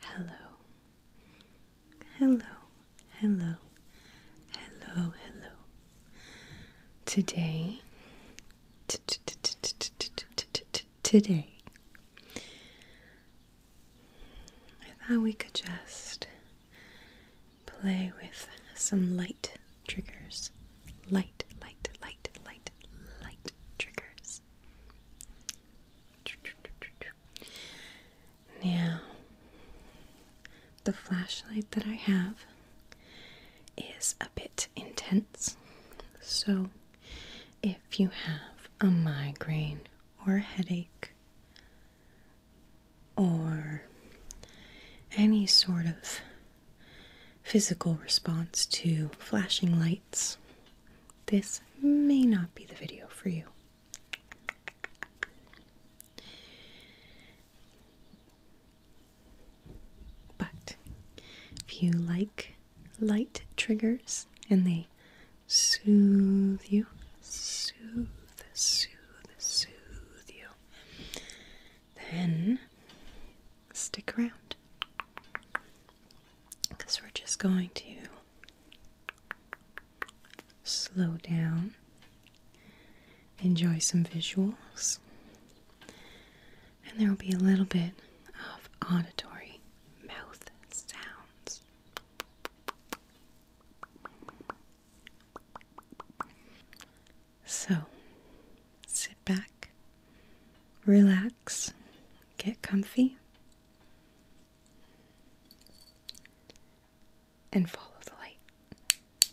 Hello, hello, hello, hello, hello. Today today. I thought we could just play with some light triggers. Light, light, light, light, light triggers. Now, the flashlight that I have is a bit intense. So, if you have a migraine or a headache or any sort of physical response to flashing lights, this may not be the video for you. But if you like light triggers and they soothe you, soothe, soothe, soothe you, then stick around. Because we're just going to slow down enjoy some visuals, and there will be a little bit of auditory mouth sounds. So, sit back, relax, get comfy, and follow the light.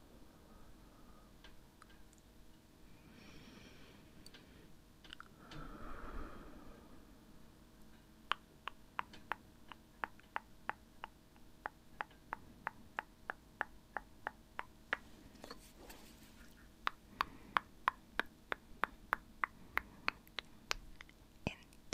In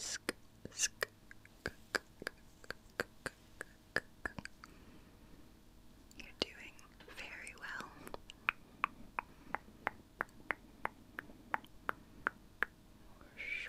Sk sk You're doing very well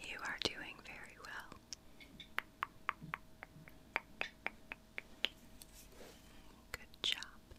You are doing very well. Good job. Good.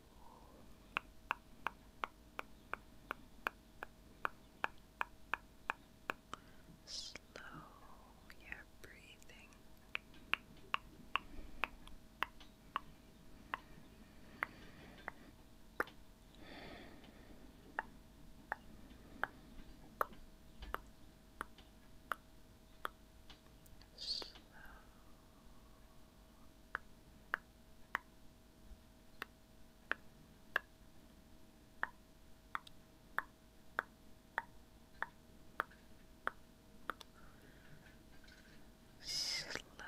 Slow your breathing. Slow. Slow down.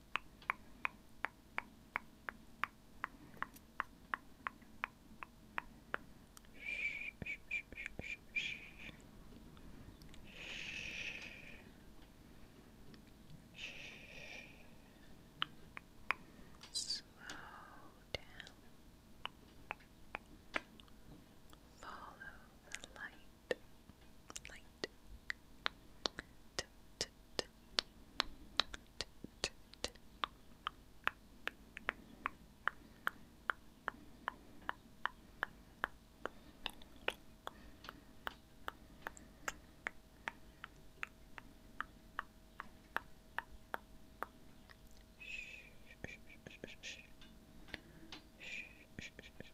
Slow down. Follow the light light. T -t -t. T -t -t. Shh, shh, shh, shh, shh. Shh, shh, shh, shh,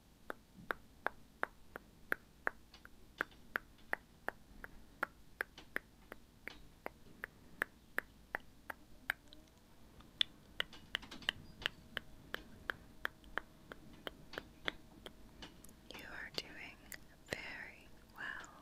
You are doing very well.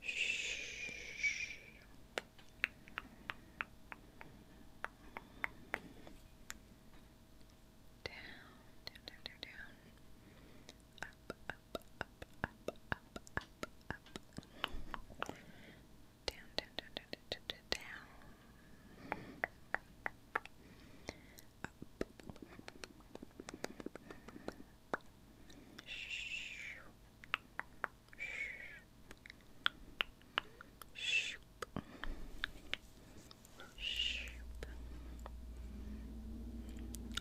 Shh. Down, down, down, down, down. Up, up, up, up, up, up, up. Down, down, down, down, down, down. down.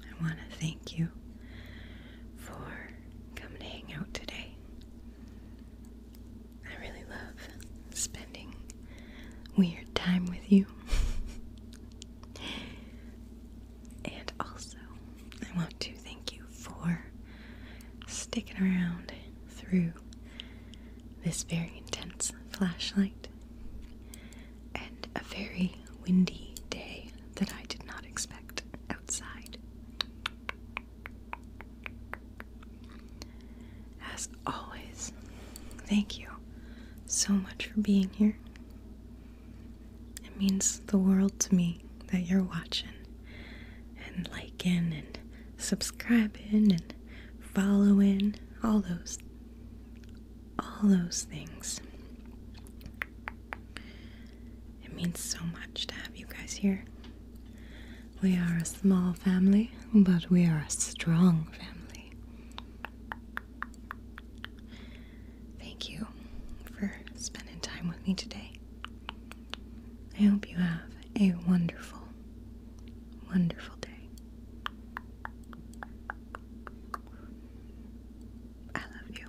I want to thank you for coming to hang out today. I really love spending weird time with you. and also, I want to thank you for sticking around through this very intense flashlight and a very windy day that I did not expect outside. As always. Thank you so much for being here. It means the world to me that you're watching and liking and subscribing and following all those all those things. It means so much to have you guys here. We are a small family, but we are a strong family. Thank you for spending time with me today. I hope you have a wonderful, wonderful day. I love you.